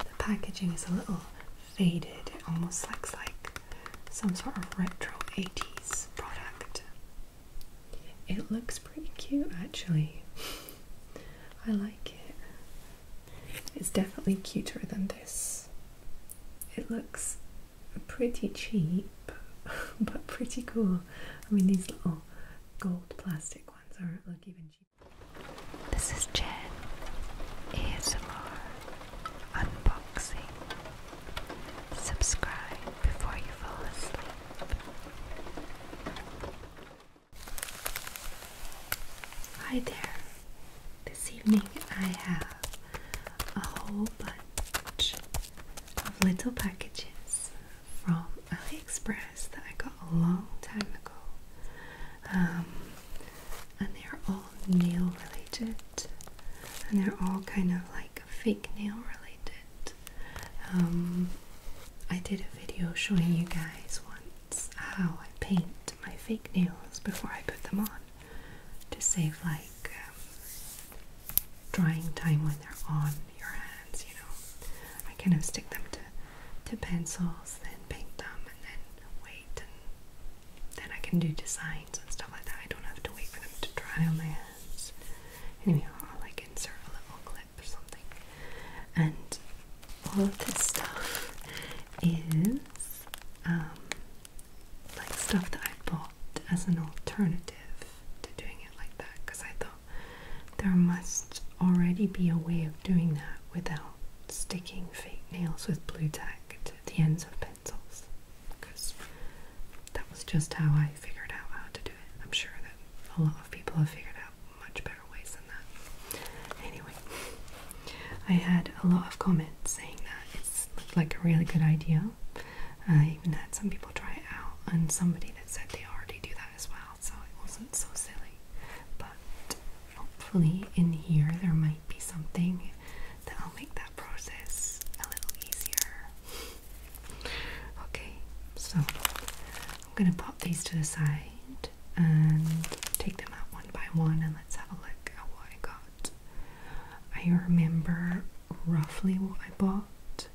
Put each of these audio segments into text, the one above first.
The packaging is a little faded, it almost looks like some sort of retro 80s product. It looks pretty cute actually. I like it. It's definitely cuter than this. It looks pretty cheap, but pretty cool. I mean, these little gold plastic ones are look even cheaper. This is Jen ASMR unboxing. Subscribe before you fall asleep. Hi there. This evening I have a whole bunch of little packages from AliExpress that I got a long time ago. Um, and they're all nail related, and they're all kind of like fake nail related. Um, I did a video showing you guys once how I paint my fake nails before I put them on, to save like um, drying time when they're on your hands, you know. I kind of stick them to to pencils, then paint them, and then wait, and then I can do designs and stuff like that. I don't have to wait for them to dry on my hands. Anyway, I'll like insert a little clip or something. And all of this stuff is um, like stuff that I bought as an alternative to doing it like that because I thought there must already be a way of doing that without sticking fake nails with blue tack to the ends of pencils because that was just how I figured out how to do it. I'm sure that a lot of people have figured out much better ways than that. Anyway, I had a lot of comments saying that it looked like a really good idea. I uh, even had some people try it out, and somebody that said they already do that as well, so it wasn't so silly. But hopefully, in here, there might be something that'll make that process a little easier. Okay, so I'm gonna pop these to the side and take them out one by one and let's have a look at what I got. I remember roughly what I bought,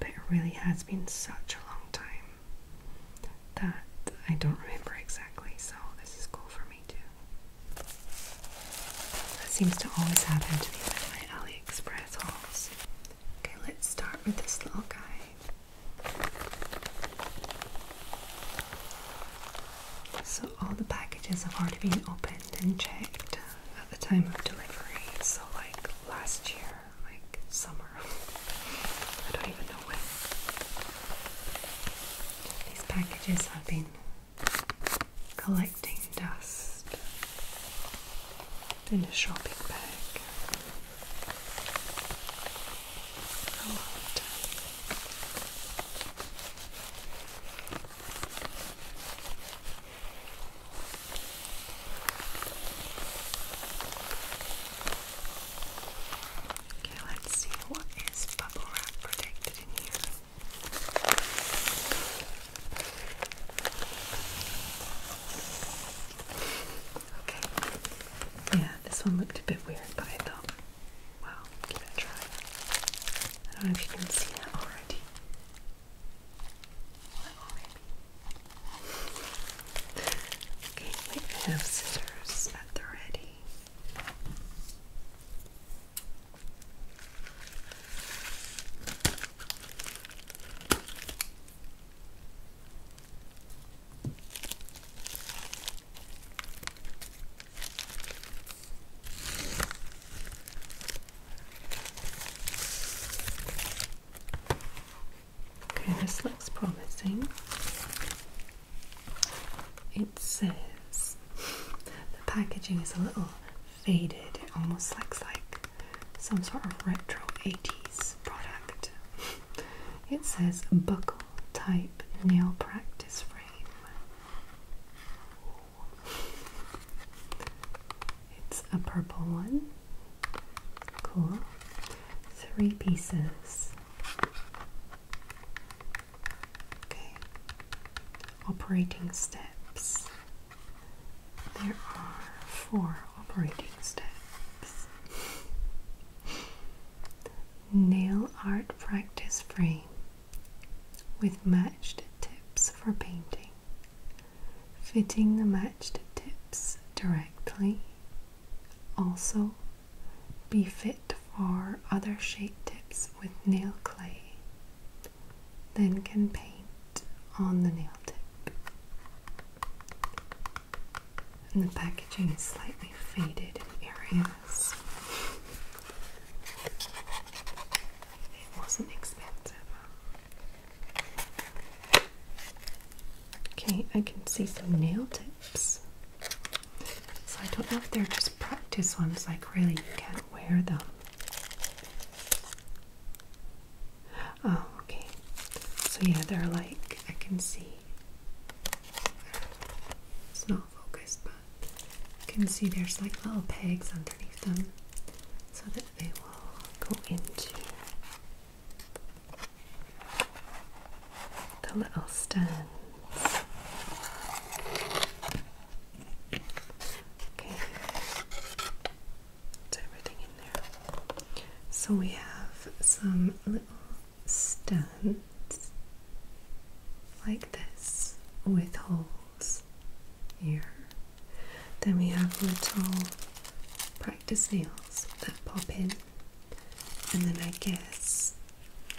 but it really has been such a long time that I don't remember exactly, so this is cool for me too. That seems to always happen to me with my AliExpress hauls. Okay, let's start with this little guy. So all the packages have already been opened and checked at the time of delivery. So like last year, like summer. I don't even know when. These packages have been collecting dust in a shopping bag for a long time. Okay, let's see what is bubble wrap protected in here. Okay. Yeah, this one looked a bit weird, but I thought Wow, give it a try. I don't know if you can see that already. okay, wait, have scissors at the ready. Okay, this looks promising. It says the packaging is a little faded, it almost looks like some sort of retro 80s product. It says buckle type nail practice frame. It's a purple one. Cool. Three pieces. Okay. Operating steps. There are four operating steps nail art practice frame with matched tips for painting, fitting the matched tips directly. Also, be fit for other shape tips with nail clay, then can paint on the nail tip and the packaging is slightly faded in areas. It wasn't expensive. Okay, I can see some nail tips. So I don't know if they're just practice ones, like really you can't wear them. Oh, okay. So yeah, they're like, I can see. It's not not but you can see there's like little pegs underneath them so that they will go into the little stands. Okay, it's everything in there. So we have some little stands like this with holes here. Then we have little practice nails that pop in, and then I guess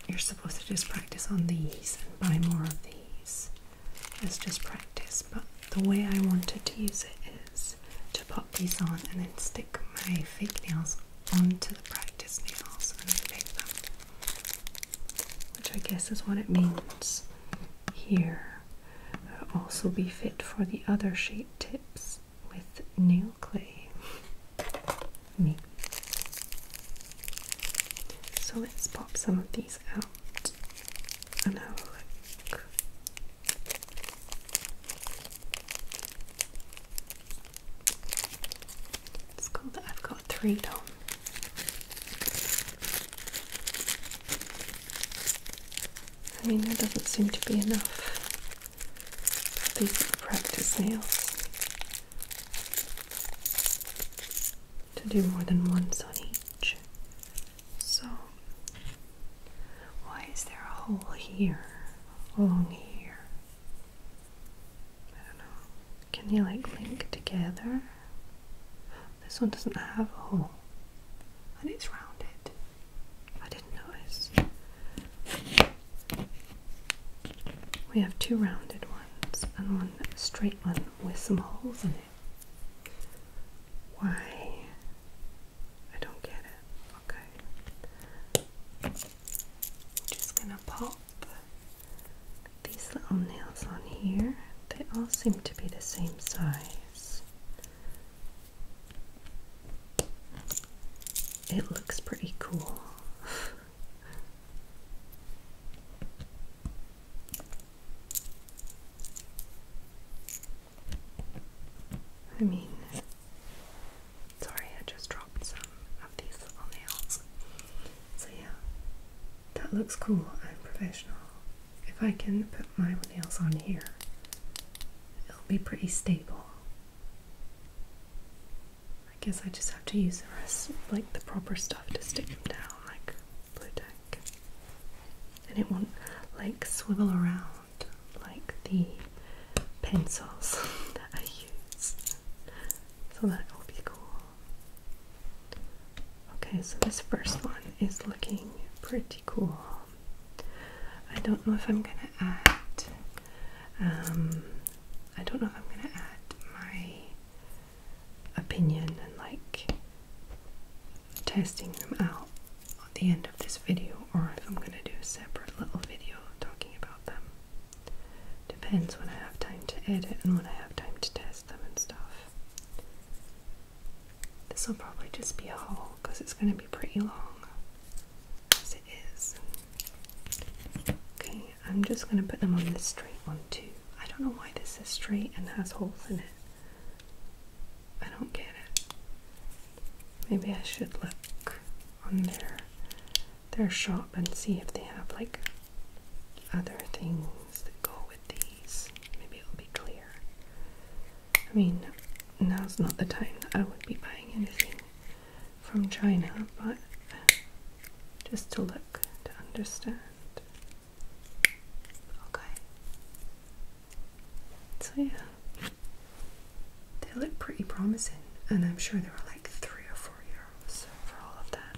you're supposed to just practice on these and buy more of these. It's just practice, but the way I wanted to use it is to pop these on and then stick my fake nails onto the practice Disney house Which I guess is what it means here. Uh, also be fit for the other shape tips with nail clay. Me. So let's pop some of these out and have a look. It's cool I've got three done. I mean, there doesn't seem to be enough for these practice nails to do more than once on each. So, why is there a hole here, along here? I don't know. Can you like link together? This one doesn't have a oh. hole. And it's rounded. I didn't notice. We have two rounded ones and one straight one with some holes in it. Why? I don't get it. Okay. I'm just gonna pop these little nails on here. They all seem to be the same size. It looks pretty cool. I mean, Sorry, I just dropped some of these little nails. So yeah, that looks cool. I'm professional. If I can put my nails on here, it'll be pretty stable. I guess I just have to use the rest, like the proper stuff to stick them down, like blue And it won't like swivel around like the pencils that I use. So that will be cool. Okay, so this first one is looking pretty cool. I don't know if I'm gonna add, um, I don't know if I'm gonna add my opinion and like testing them out at the end of this video or if I'm gonna do a separate little video talking about them. Depends when I have time to edit and when I have time to test them and stuff. This will probably just be a hole because it's going to be pretty long as it is. Okay, I'm just going to put them on this straight one too. I don't know why this is straight and has holes in it. I don't get it. Maybe I should look on their their shop and see if they have like other things that go with these. Maybe it'll be clear. I mean, now's not the time I would be buying anything from China, but just to look, to understand. Okay. So, yeah. They look pretty promising, and I'm sure they were like three or four euros for all of that.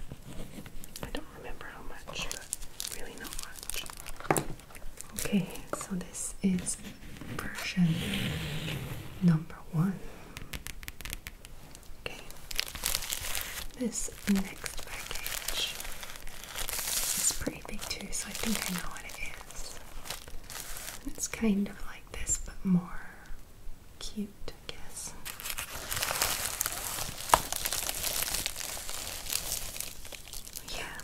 I don't remember how much, but really not much. Okay, so this is version number one. Okay, this next package is pretty big too, so I think I know what it is. It's kind of like this, but more cute, I guess. Yeah,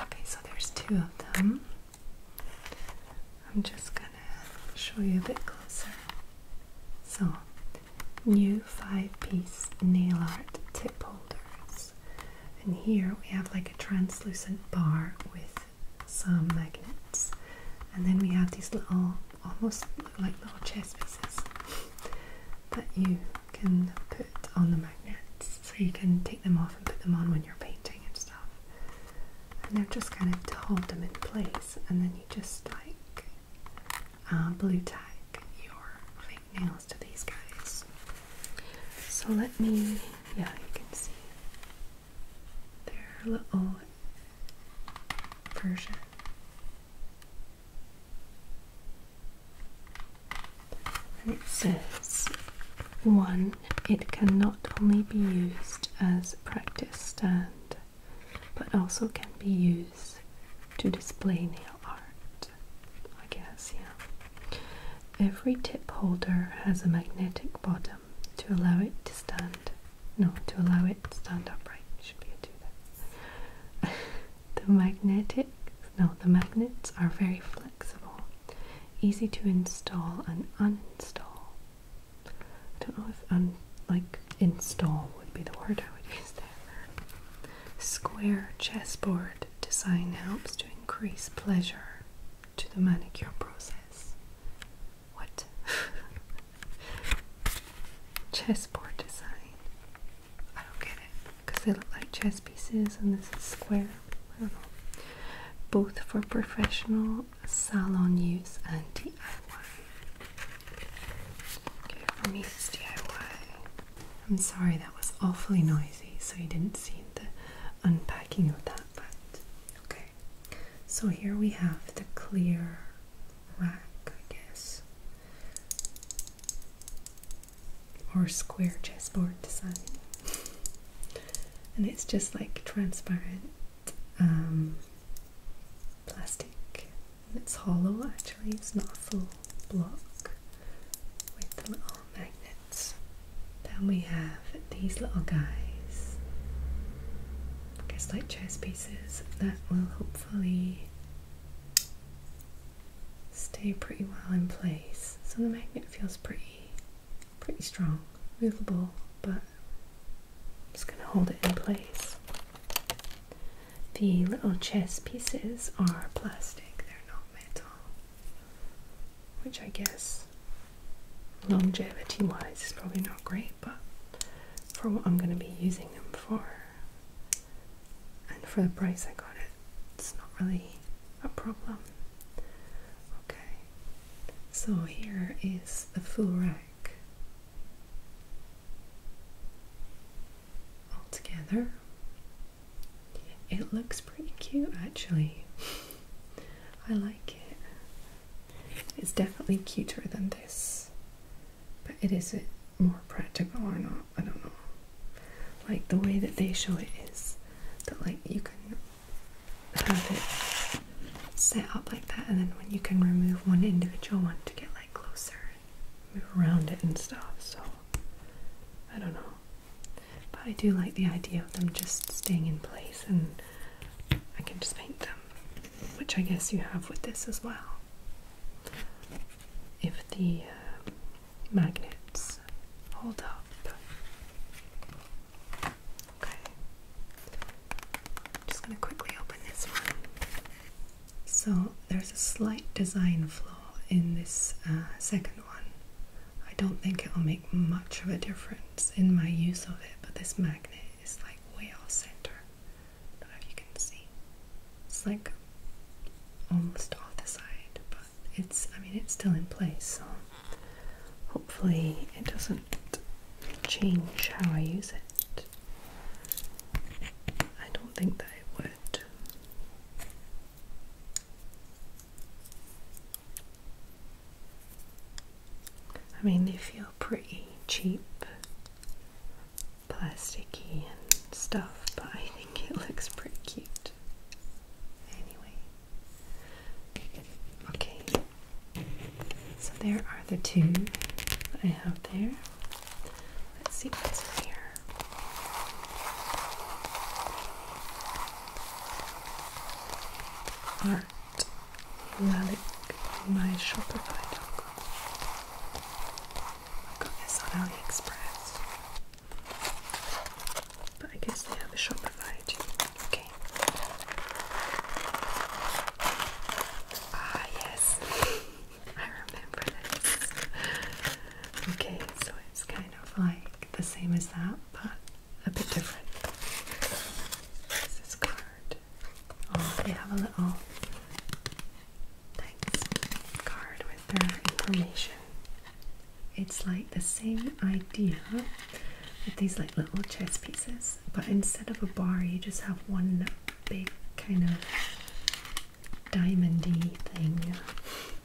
Okay, so there's two of them. I'm just gonna show you a bit closer. So, new five-piece nail art tip holders. And here we have like a translucent bar with some magnets. And then we have these little, almost look like little chess pieces that you can put on the magnets. So you can take them off and put them on when you're painting and stuff. And they're just kind of to hold them in place. And then you just like uh, blue tack your fingernails to these guys. So let me, yeah, you can see their little version. And it says one, it can not only be used as a practice stand, but also can be used to display nail art. I guess, yeah. Every tip holder has a magnetic bottom to allow it to stand. No, to allow it to stand upright. Should be a do the magnetic, no, the magnets are very flexible, easy to install and uninstall. I don't know if un, like install would be the word I would use. Square chessboard design helps to increase pleasure to the manicure process. What? chessboard design. I don't get it because they look like chess pieces and this is square. I don't know. Both for professional salon use and DIY. Okay, for me it's DIY. I'm sorry that was awfully noisy, so you didn't see the unpacking of that, but okay. So here we have the clear rack, I guess, or square chessboard design. And it's just like transparent um, plastic it's hollow actually, it's not a full block with little magnets. Then we have these little guys, I light chess pieces that will hopefully stay pretty well in place. So the magnet feels pretty, pretty strong, movable, but just gonna hold it in place. The little chess pieces are plastic, they're not metal, which I guess longevity wise is probably not great, but for what I'm going to be using them for and for the price I got it, it's not really a problem. Okay, so here is the full rack altogether. It looks pretty cute actually. I like it. It's definitely cuter than this, but it is it more practical or not? I don't know. Like the way that they show it is that like you can have it set up like that, and then when you can remove one individual one to get like closer, move around it and stuff, so I don't know. But I do like the idea of them just staying in place and I can just paint them, which I guess you have with this as well. If the um, magnets hold up. Okay. I'm just going to quickly open this one. So there's a slight design flaw in this uh, second one. I don't think it'll make much of a difference in my use of it, but this magnet is like way off center. don't know if you can see. It's like almost off the side, but it's, I mean, it's still in place, so hopefully it doesn't change how I use it. I don't think that it would. I mean, they feel pretty cheap, plasticky and stuff, but I think it looks pretty cute. Anyway, okay, so there are the two that I have there. Let's see what's in here. Art Relic, my Shopify dog. I got this on AliExpress. But I guess they have a Shopify too. Okay. Ah, yes. I remember this. Okay, so it's kind of like the same as that, but a bit different. This card. Oh, they have a little thanks card with their information. It's like the same idea with these like little chess pieces, but instead of a bar, you just have one big kind of diamondy thing.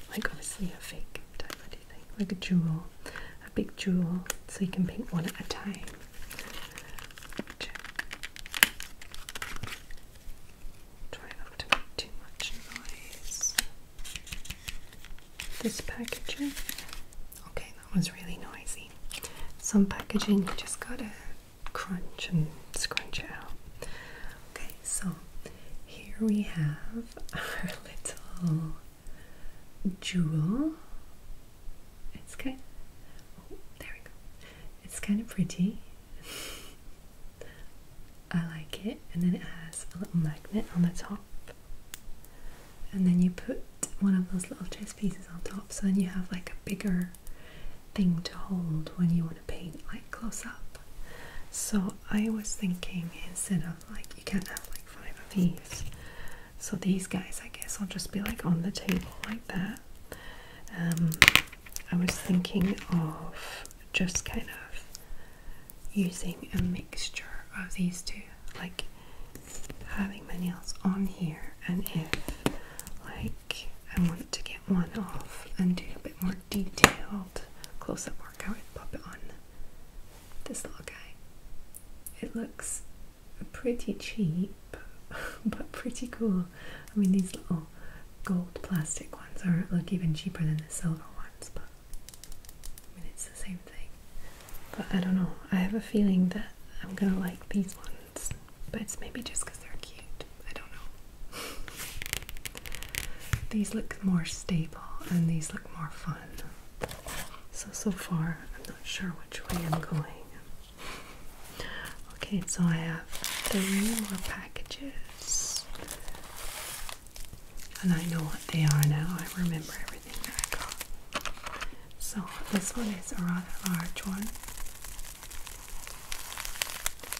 Like obviously a fake diamondy thing, like a jewel, a big jewel, so you can pick one at a time. Try not to make too much noise. This packaging, okay, that was really noisy. Some packaging you just gotta crunch and scrunch out. Okay, so here we have our little jewel. It's kind oh, there we go. It's kind of pretty. I like it. And then it has a little magnet on the top. And then you put one of those little chess pieces on top, so then you have like a bigger thing to hold when you want to paint like close up. So I was thinking instead of like you can't have like five of these. So these guys I guess I'll just be like on the table like that. Um, I was thinking of just kind of using a mixture of these two, like having my nails on here and if like I wanted to get one off and do a bit more detailed close-up workout and pop it on this little guy. It looks pretty cheap, but pretty cool. I mean, these little gold plastic ones are look even cheaper than the silver ones, but it's the same thing. But I don't know. I have a feeling that I'm gonna like these ones but it's maybe just because they're cute. I don't know. these look more stable and these look more fun. So, so far, I'm not sure which way I'm going. Okay, so I have three more packages. And I know what they are now. I remember everything that I got. So, this one is a rather large one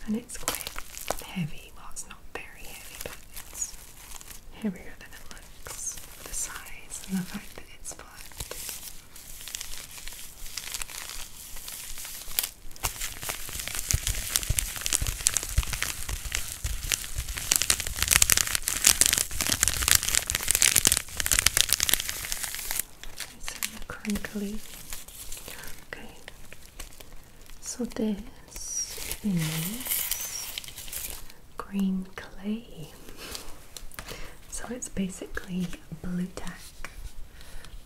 and it's quite heavy. Well, it's not very heavy, but it's heavier than it looks the size and the fact that it's flat it's crinkly. Okay, so this is green clay. So it's basically blue tack,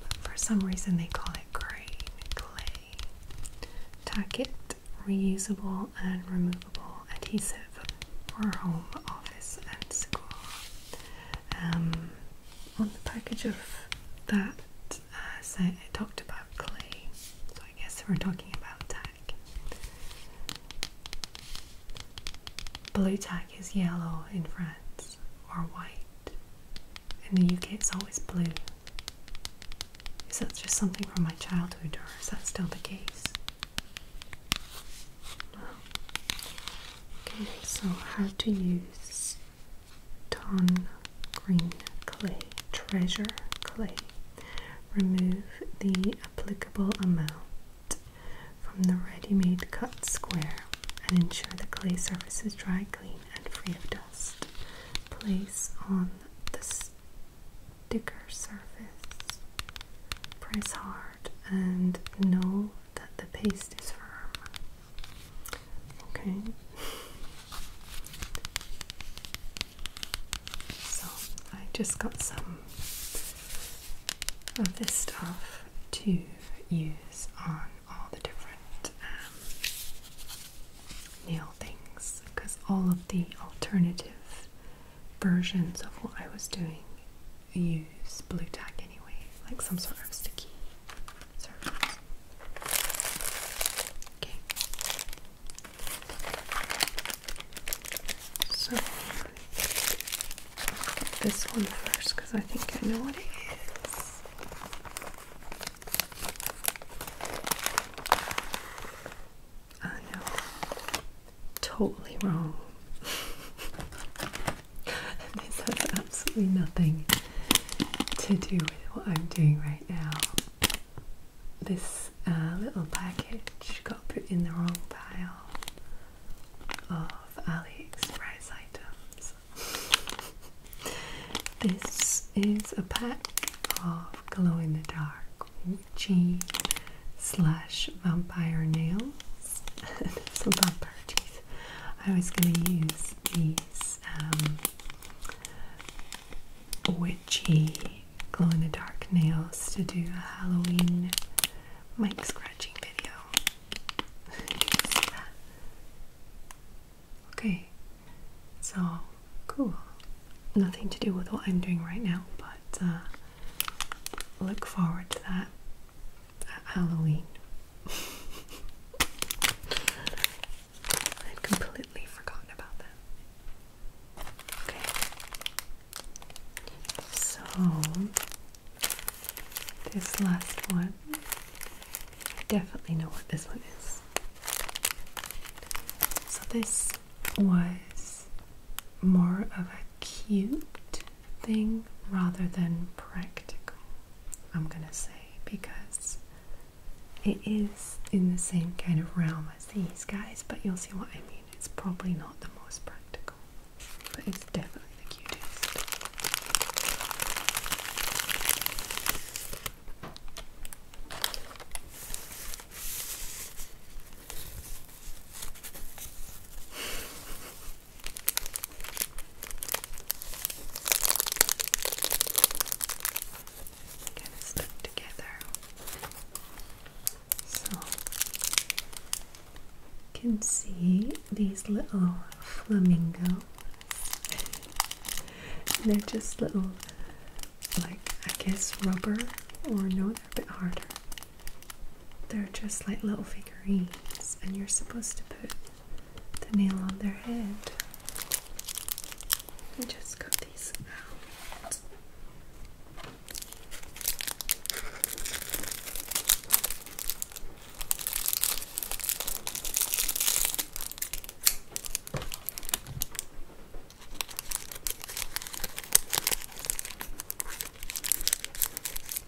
but for some reason they call it green clay. Tack it, reusable and removable adhesive for home, office, and school. Um, on the package of that uh, I talked about clay, so I guess we're talking about tack. Blue tack is yellow in France or white. In the UK, it's always blue. Is that just something from my childhood, or is that still the case? Okay, so how to use ton Green Clay, Treasure Clay. Remove the applicable amount from the ready-made cut square and ensure the clay surface is dry, clean and free of dust. Place on the sticker surface, press hard and no that the paste is firm. Okay. So I just got some of this stuff to use on all the different um, nail things because all of the alternative versions of what I was doing use blue tack anyway, like some sort of sticky Okay. So this one first because I think I know what it is. I know totally wrong. this has absolutely nothing to do with what I'm doing right now. This uh, little package got put in the wrong pile of AliExpress items. this is a pack of glow in the dark witchy slash vampire nails. Some vampire teeth. I was going to use these um, witchy glow in the dark nails to do a Halloween mic scratching video. okay, so cool. Nothing to do with what I'm doing right now, but uh, look forward to that. Halloween. I'd completely forgotten about that. Okay. So, this last one, I definitely know what this one is. So, this was more of a cute thing rather than practical, I'm gonna say, because it is in the same kind of realm as these guys, but you'll see what I mean. It's probably not the most practical, but it's definitely the cutest. Kind of stuck together. So you can see these little flamingos. They're just little like I guess rubber or no they're a bit harder. They're just like little figurines, and you're supposed to put the nail on their head. just got these out.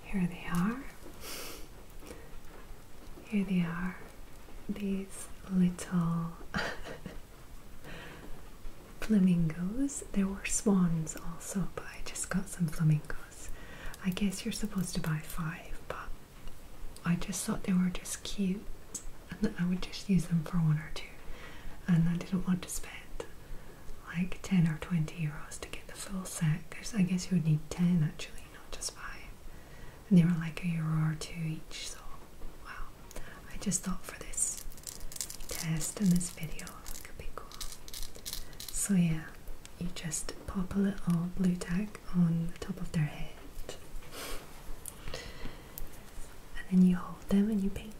Here they are. Here they are. These little flamingos. There were swans also, but I just got some flamingos. I guess you're supposed to buy five, but I just thought they were just cute and I would just use them for one or two. And I didn't want to spend like 10 or 20 euros to get the full set because I guess you would need 10 actually, not just 5. And they were like a euro or two each, so wow. I just thought for this test and this video it could be cool. So, yeah, you just pop a little blue tag on the top of their head. And then you hold them and you paint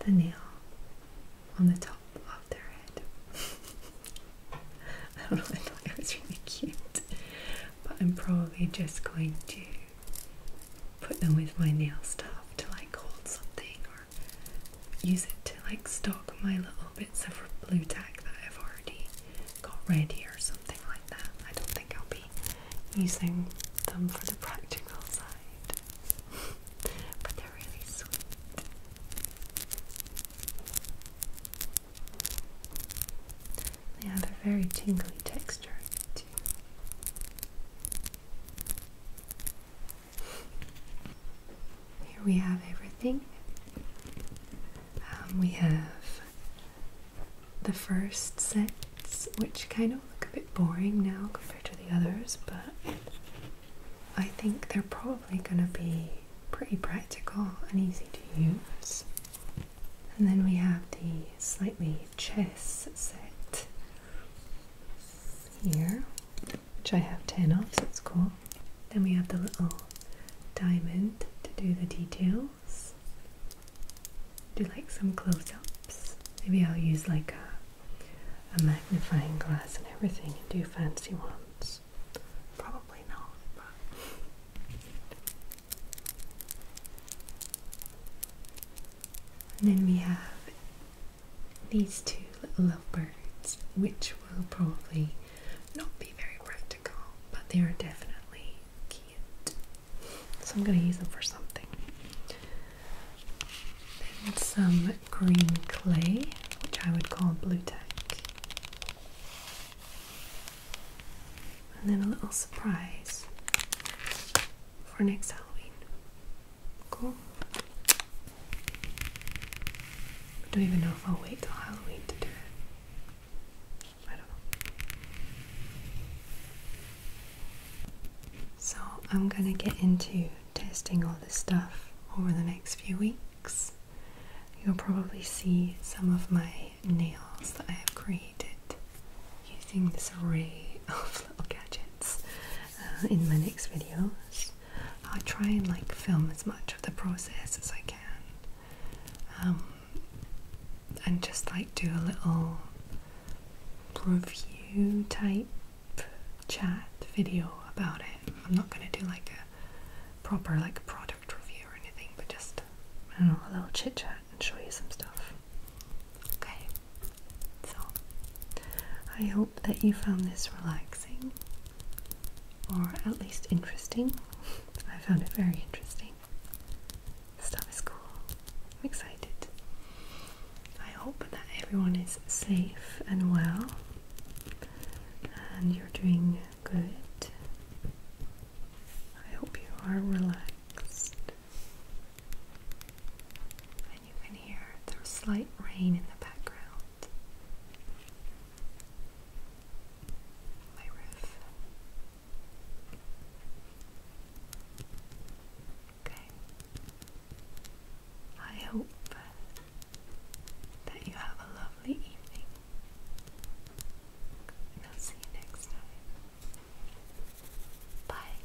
the nail on the top of their head. I don't know, I thought it was really cute, but I'm probably just going to put them with my nail stuff to like hold something or use it to like stock my little bits of blue tack that I've already got ready or something like that. I don't think I'll be using them for the practical side but they're really sweet. They have a very tingly texture too. Here we have everything. Um, we have the first sets, which kind of look a bit boring now compared to the others, but I think they're probably going to be pretty practical and easy to use. And then we have the slightly chess set here, which I have 10 of, so it's cool. Then we have the little diamond to do the details. Do like some close ups. Maybe I'll use like a a magnifying glass and everything and do fancy ones. Probably not, but. then we have these two little birds, which will probably not be very practical, but they are definitely cute. So I'm going to use them for something. Then some green clay, which I would call blue tack. And then a little surprise for next Halloween. Cool. I don't even know if I'll wait till Halloween to do it. I don't know. So, I'm going to get into testing all this stuff over the next few weeks. You'll probably see some of my nails that I have created using this array of little gadgets uh, in my next videos. I'll try and like film as much of the process as I can. Um, and just like do a little review type chat video about it. I'm not gonna do like a proper like product review or anything, but just I know, a little chit chat and show you some stuff. Okay. So I hope that you found this relaxing or at least interesting. I found it very interesting. Stuff is cool. I'm excited. I hope that everyone is safe and well and you're doing good. I hope you are relaxed and you can hear the slight rain in the background. My Okay. I hope that you have a lovely evening. I'll see you next time. Bye.